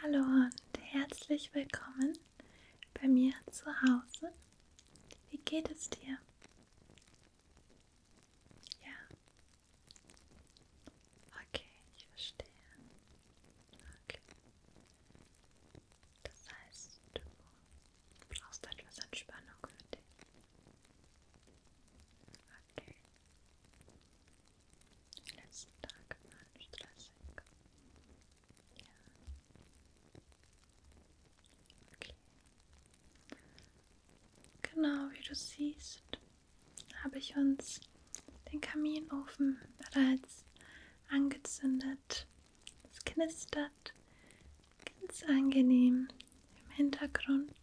Hallo und herzlich willkommen bei mir zu Hause. Wie geht es dir? Ja. Okay, ich verstehe. Okay. Das heißt, du brauchst etwas Entspannung für dich. Okay. Die letzten Tage waren stressig. Ja. Okay. Genau wie du siehst, habe ich uns den Kaminofen bereits angezündet. Es knistert ganz angenehm im Hintergrund.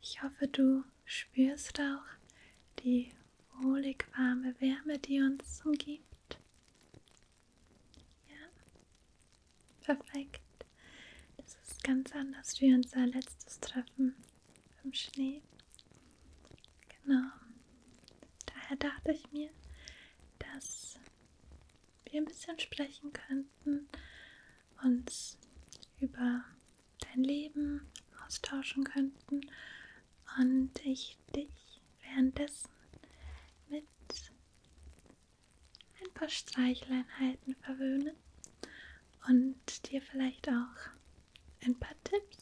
Ich hoffe, du spürst auch die wohlig warme Wärme, die uns umgibt. Ja, perfekt. Das ist ganz anders wie unser letztes Treffen im Schnee. Genau. Daher dachte ich mir, dass wir ein bisschen sprechen könnten, uns über dein Leben austauschen könnten und ich dich währenddessen mit ein paar Streichleinheiten verwöhne und dir vielleicht auch ein paar Tipps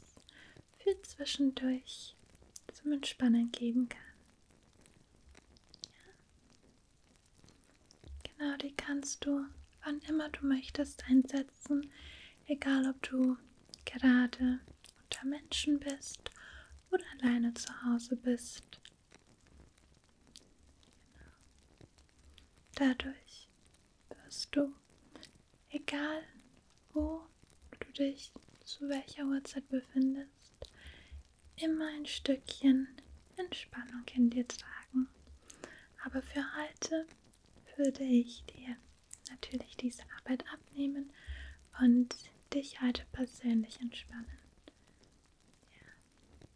für zwischendurch zum Entspannen geben kann. Ja. Genau, die kannst du wann immer du möchtest einsetzen setzen, egal ob du gerade unter Menschen bist oder alleine zu Hause bist. Genau. Dadurch wirst du, egal wo du dich zu welcher Uhrzeit befindest, immer ein Stückchen Entspannung in dir tragen. Aber für heute würde ich dir natürlich diese Arbeit abnehmen und dich heute persönlich entspannen. Ja.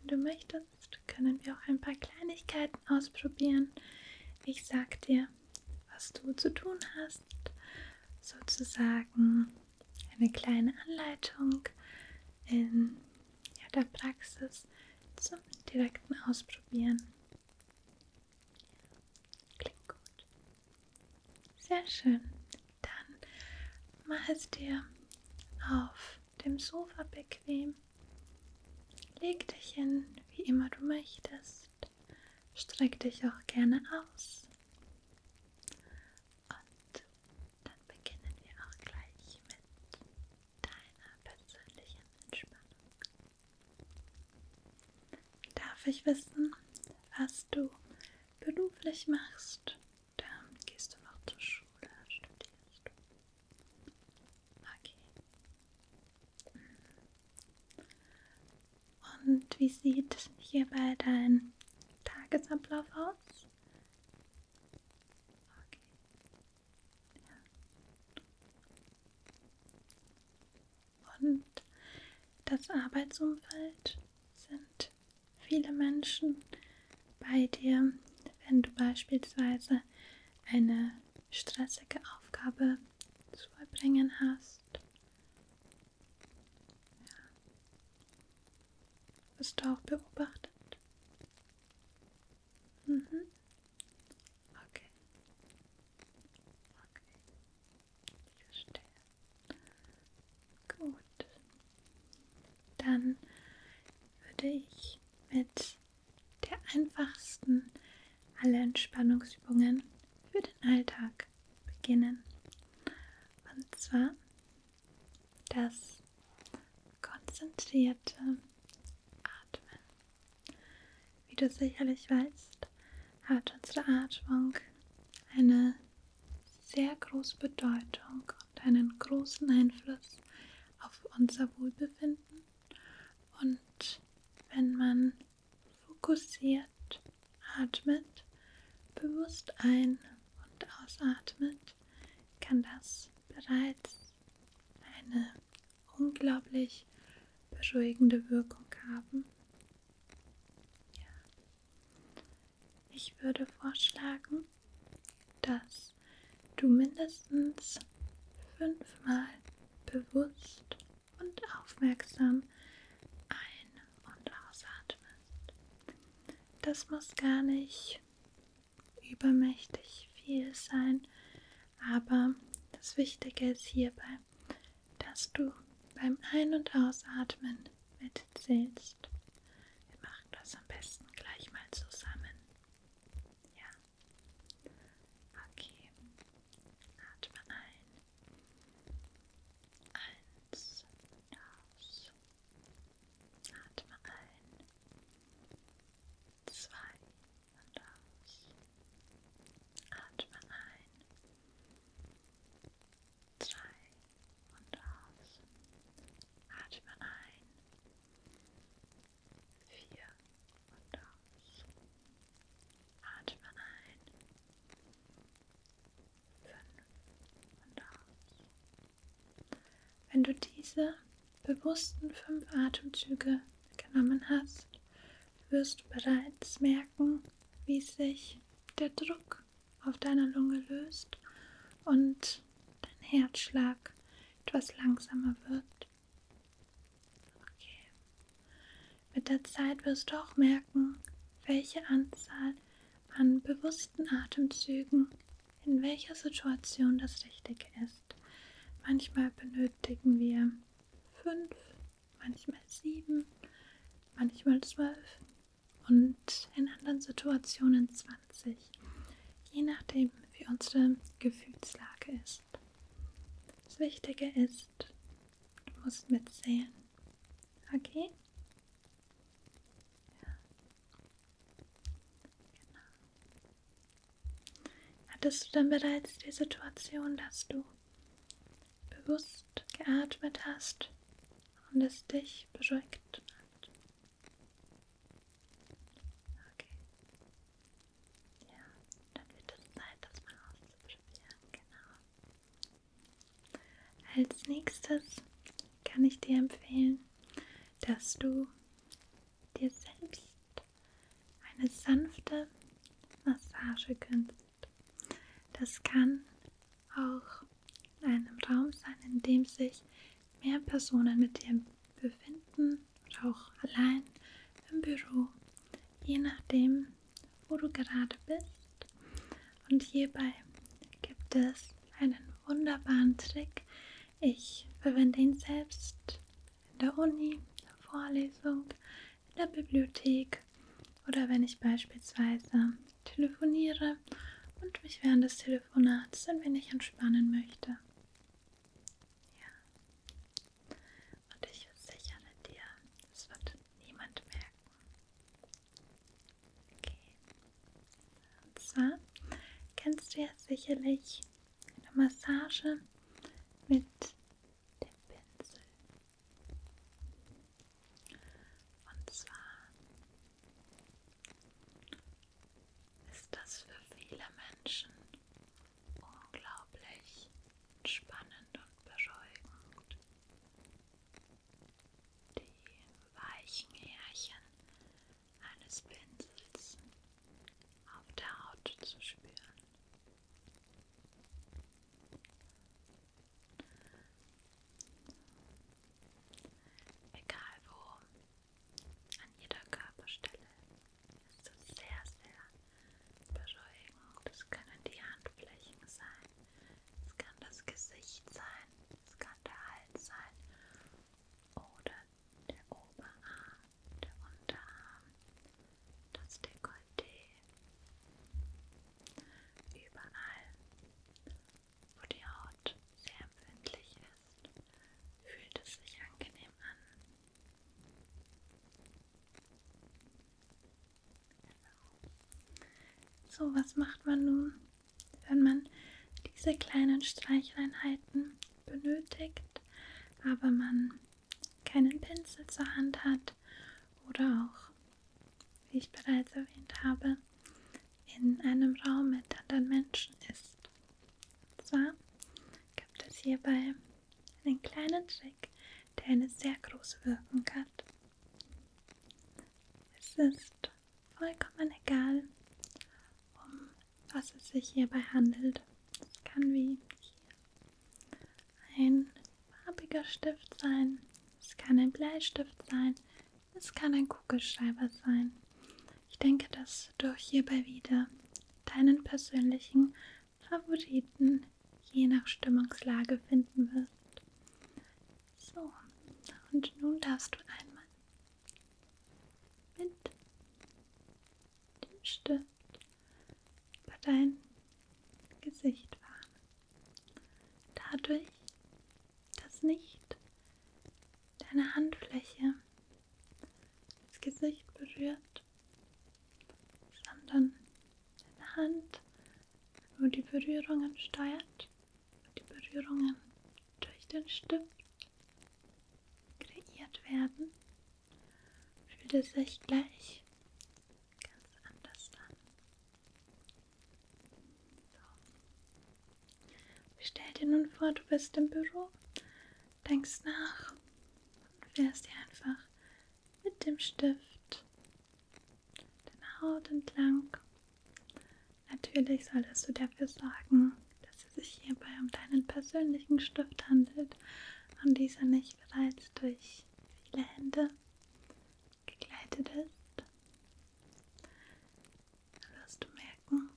Wenn du möchtest, können wir auch ein paar Kleinigkeiten ausprobieren. Ich sag dir, was du zu tun hast, sozusagen eine kleine Anleitung in ja, der Praxis zum direkten Ausprobieren. Klingt gut. Sehr schön. Dann mach es dir auf dem Sofa bequem. Leg dich hin, wie immer du möchtest. Streck dich auch gerne aus. Und dann beginnen wir auch gleich mit deiner persönlichen Entspannung. Darf ich wissen, was du beruflich machst? Dann gehst du noch zur Schule, studierst du. Okay. Und wie sieht hierbei dein Tagesablauf aus? Okay. Ja. Und das Arbeitsumfeld sind viele Menschen bei dir, wenn du beispielsweise eine stressige Aufgabe zu vollbringen hast. Ja. Bist du auch beobachtet? Mhm. Okay. Okay. Ich verstehe. Gut. Dann würde ich mit der einfachsten aller Entspannungsübungen für den Alltag beginnen. Und zwar das konzentrierte Atmen. Wie du sicherlich weißt, hat unsere Atmung eine sehr große Bedeutung und einen großen Einfluss auf unser Wohlbefinden. Und wenn man fokussiert atmet, bewusst ein- und ausatmet, kann das bereits eine unglaublich beruhigende Wirkung haben. Ja. Ich würde vorschlagen, dass du mindestens fünfmal bewusst und aufmerksam ein- und ausatmest. Das muss gar nicht übermächtig viel sein, aber das Wichtige ist hierbei, dass du beim Ein- und Ausatmen mitzählst. Wir machen das am besten gleich mal zusammen. Ja. Okay. Atme ein. Eins. Aus. Atme ein. Zwei und aus. Atme ein, zwei und aus. Atme ein, vier und aus. Atme ein, fünf und aus. Wenn du diese bewussten fünf Atemzüge genommen hast, wirst du bereits merken, wie sich der Druck auf deiner Lunge löst und dein Herzschlag etwas langsamer wird. Okay. Mit der Zeit wirst du auch merken, welche Anzahl an bewussten Atemzügen in welcher Situation das Richtige ist ist. Manchmal benötigen wir fünf, manchmal sieben, manchmal zwölf und in anderen Situationen 20, je nachdem wie unsere Gefühlslage ist. Das Wichtige ist, du musst mitzählen. Okay? Ja. Genau. Hattest du dann bereits die Situation, dass du bewusst geatmet hast und es dich beruhigt hat? Okay. Ja, dann wird es Zeit, das mal auszuprobieren. Genau. Als nächstes kann ich dir empfehlen, dass du dir selbst eine sanfte Massage gönnst. Das kann auch in einem Raum sein, in dem sich mehr Personen mit dir befinden oder auch allein im Büro, je nachdem, wo du gerade bist. Und hierbei gibt es einen wunderbaren Trick, ich verwende ihn selbst in der Uni, in der Vorlesung, in der Bibliothek oder wenn ich beispielsweise telefoniere und mich während des Telefonats ein wenig entspannen möchte. Ja. Und ich versichere dir, es wird niemand merken. Okay. Und zwar kennst du ja sicherlich eine Massage mit dem Pinsel. Und zwar ist das für viele Menschen unglaublich entspannend und beruhigend. Die weichen Härchen eines Pinsels auf der Haut zu spüren. Egal wo, an jeder Körperstelle ist es sehr, sehr beruhigend. Das können die Handflächen sein, es kann das Gesicht sein, es kann der Hals sein oder der Oberarm, der Unterarm, das Dekolleté. Überall, wo die Haut sehr empfindlich ist, fühlt es sich angenehm an. So, was macht man nun, wenn man diese kleinen Streicheinheiten benötigt, aber man keinen Pinsel zur Hand hat oder auch, wie ich bereits erwähnt habe, in einem Raum mit anderen Menschen ist. Und zwar gibt es hierbei einen kleinen Trick, der eine sehr große Wirkung hat. Es ist vollkommen egal, um was es sich hierbei handelt. Es kann wie hier ein farbiger Stift sein, es kann ein Bleistift sein, es kann ein Kugelschreiber sein. Ich denke, dass du hierbei wieder deinen persönlichen Favoriten je nach Stimmungslage finden wirst. So, und nun darfst du einmal mit dem Stift über dein Gesicht fahren. Dadurch, dass nicht deine Handfläche das Gesicht berührt, sondern deine Hand nur die Berührungen steuert, die Berührungen durch den Stift kreiert werden, fühlt es sich gleich ganz anders an. So. Stell dir nun vor, du bist im Büro, denkst nach und fährst dir einfach mit dem Stift deine Haut entlang Natürlich solltest du dafür sorgen, dass es sich hierbei um deinen persönlichen Stift handelt und dieser nicht bereits durch viele Hände gegleitet ist. Dann wirst du merken,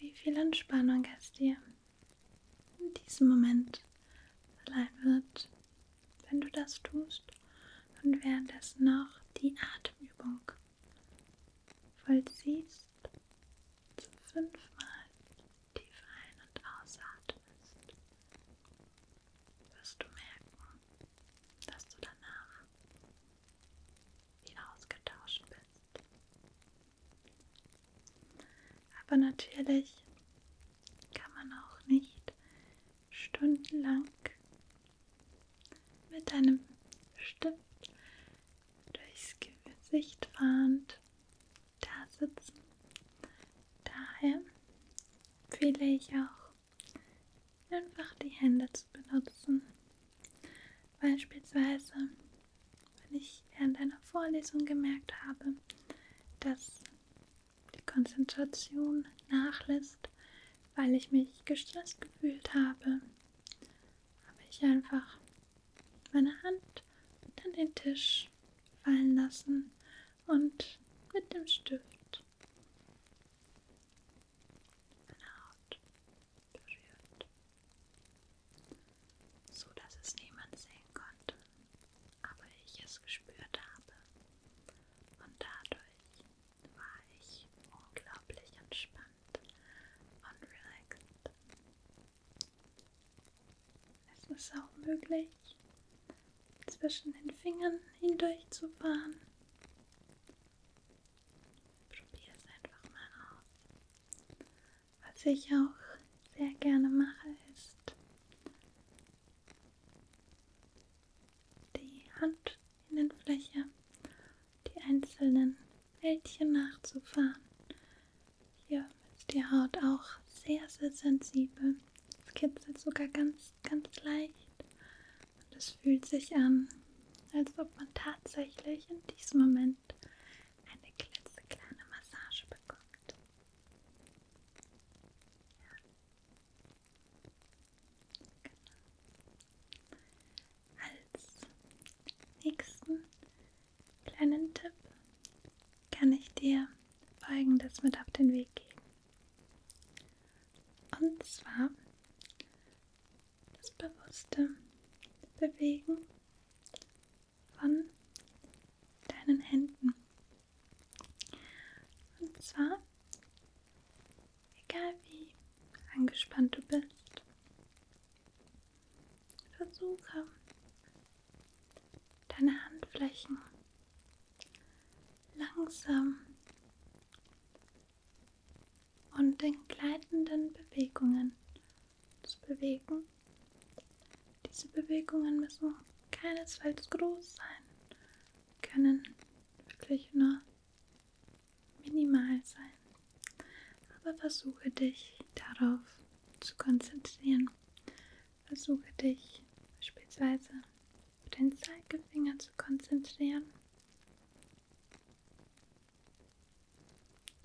wie viel Entspannung es dir in diesem Moment verleihen wird, wenn du das tust und währenddessen noch die Atemübung vollziehst, zum fünfmal tief ein- und ausatmest, wirst du merken, dass du danach wie ausgetauscht bist. Aber natürlich kann man auch nicht stundenlang mit einem Stift durchs Gesicht fahrend da sitzen. Daher empfehle ich auch, einfach die Hände zu benutzen. Beispielsweise, wenn ich während einer Vorlesung gemerkt habe, dass die Konzentration nachlässt, weil ich mich gestresst gefühlt habe, habe ich einfach meine Hand an den Tisch fallen lassen und mit dem Stift meine Haut berührt, so dass es niemand sehen konnte, aber ich es gespürt habe und dadurch war ich unglaublich entspannt und relaxed. Es ist auch möglich, zwischen den Fingern hindurch zu fahren. Probier es einfach mal aus. Was ich auch sehr gerne mache, ist die Hand Innenfläche die einzelnen Bällchen nachzufahren. Hier ist die Haut auch sehr, sehr sensibel. Es kitzelt sogar ganz, ganz leicht. Und es fühlt sich an, als ob man tatsächlich in diesem Moment eine klitzekleine Massage bekommt. Ja. Genau als nächsten kleinen Tipp kann ich dir folgendes mit auf den Weg geben. Und zwar das bewusste Bewegen von deinen Händen. Und zwar Egal wie angespannt du bist, versuche deine Handflächen langsam und in gleitenden Bewegungen zu bewegen. Diese Bewegungen müssen keinesfalls groß sein, können wirklich nur minimal sein, aber versuche dich darauf zu konzentrieren. Versuche dich beispielsweise auf den Zeigefinger zu konzentrieren,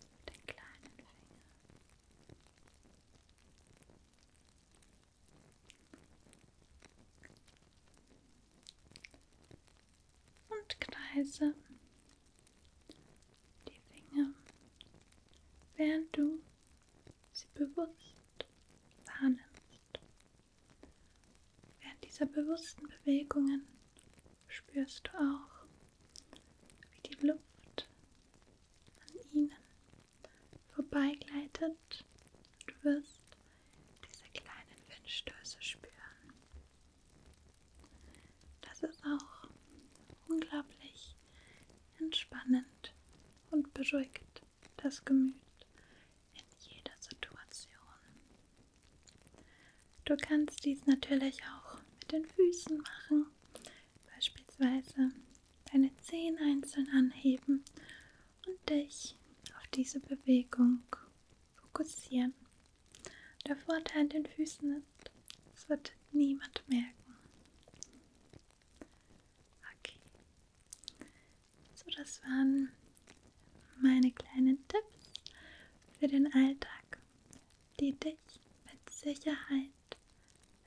auf den kleinen Finger und kreise die Finger, während du sie bewusst wahrnimmst. Während dieser bewussten Bewegungen spürst du auch, wie die Luft an ihnen vorbeigleitet. Du wirst diese kleinen Windstöße spüren. Das ist auch unglaublich entspannend und beruhigt das Gemüt in jeder Situation. Du kannst dies natürlich auch mit den Füßen machen, beispielsweise deine Zehen einzeln anheben und dich auf diese Bewegung fokussieren. Der Vorteil an den Füßen ist, es wird niemand merken. Okay. So, das waren meine kleinen Tipps für den Alltag, die dich mit Sicherheit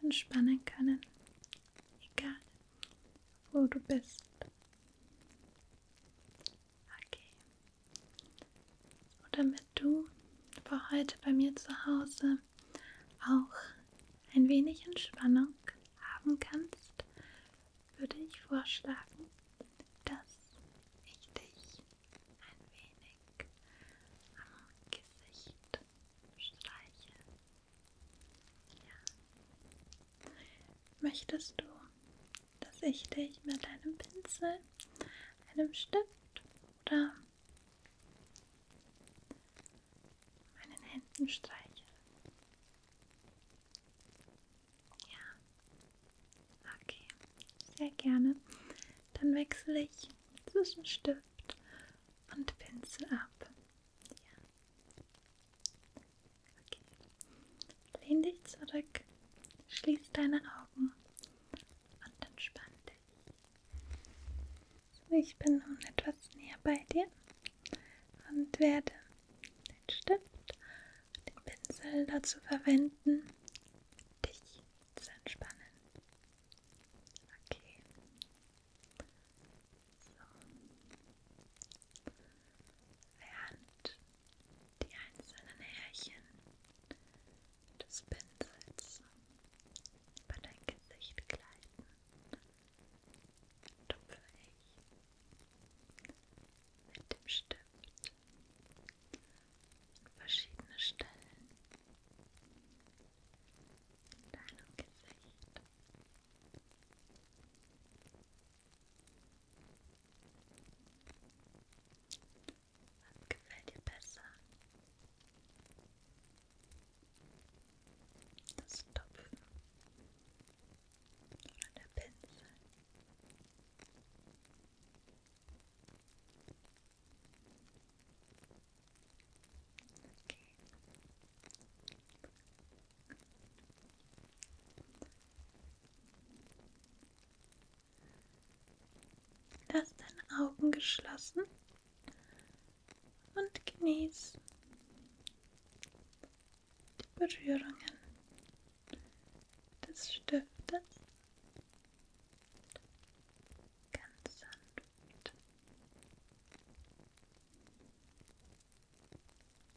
entspannen können, egal wo du bist. Okay. Und damit du für heute bei mir zu Hause auch ein wenig Entspannung haben kannst, würde ich vorschlagen, dass ich dich ein wenig am Gesicht streiche. Ja. Möchtest du dass ich dich mit einem Pinsel, einem Stift oder meinen Händen streiche. Ja, okay, sehr gerne. Dann wechsle ich zwischen Stift und Pinsel ab. Ja. Okay. Lehn dich zurück, schließ deine Augen und entspann dich. So, ich bin nun etwas näher bei dir und werde den Stift und den Pinsel dazu verwenden, dich zu entspannen. Okay. So während die einzelnen Härchen des Pinsels über dein Gesicht gleiten, tupfe ich mit dem Stift an verschiedene Stellen in deinem Gesicht. Was gefällt dir besser? Das Topfen oder der Pinsel? Okay. Lass deine Augen geschlossen und genieß die Berührungen des Stiftes ganz sanft.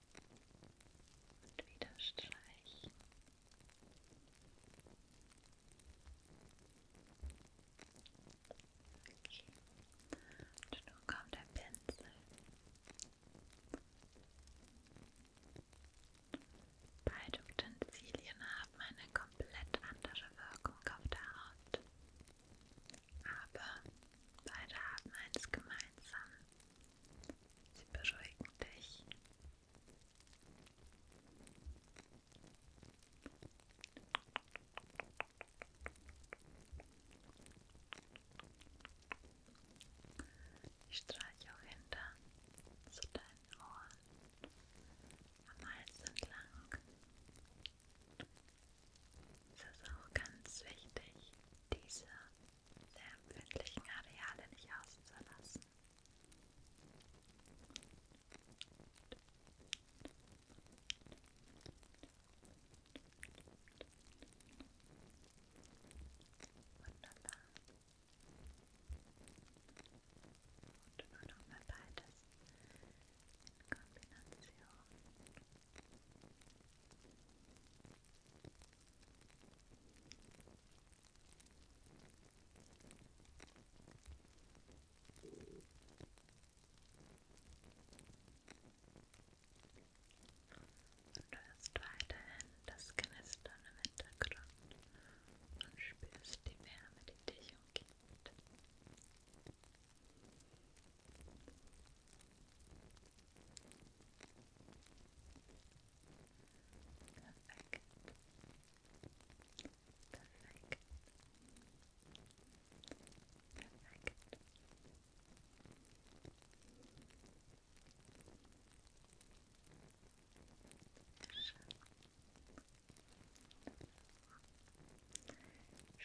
Und wieder streichen. Okay. Und nun kommt der Pinsel. Beide Utensilien haben eine komplett andere Wirkung auf der Haut. Aber beide haben eins gemeinsam. Sie beruhigen dich. Ich streiche auch hinter zu deinen Ohren am Hals entlang. Es ist auch ganz wichtig, diese der empfindlichen Areale nicht auszulassen. Wunderbar. Und nur noch mal beides in Kombination. Und du hörst weiterhin das Knistern im Hintergrund und spürst die Wärme, die dich umgibt. Perfekt. Perfekt. Perfekt.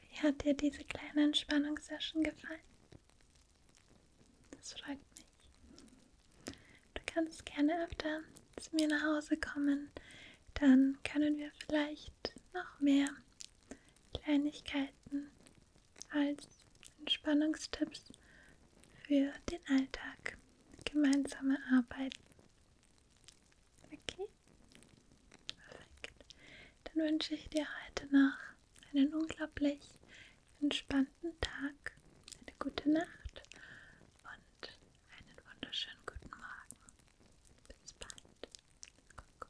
Wie hat dir diese kleine Entspannungssession gefallen? Das freut mich. Du kannst gerne öfter zu mir nach Hause kommen. Dann können wir vielleicht noch mehr Kleinigkeiten als Entspannungstipps für den Alltag gemeinsam erarbeiten. Okay? Perfekt. Dann wünsche ich dir heute noch einen unglaublich entspannten Tag, eine gute Nacht und einen wunderschönen guten Morgen. Bis bald. Kuckuck.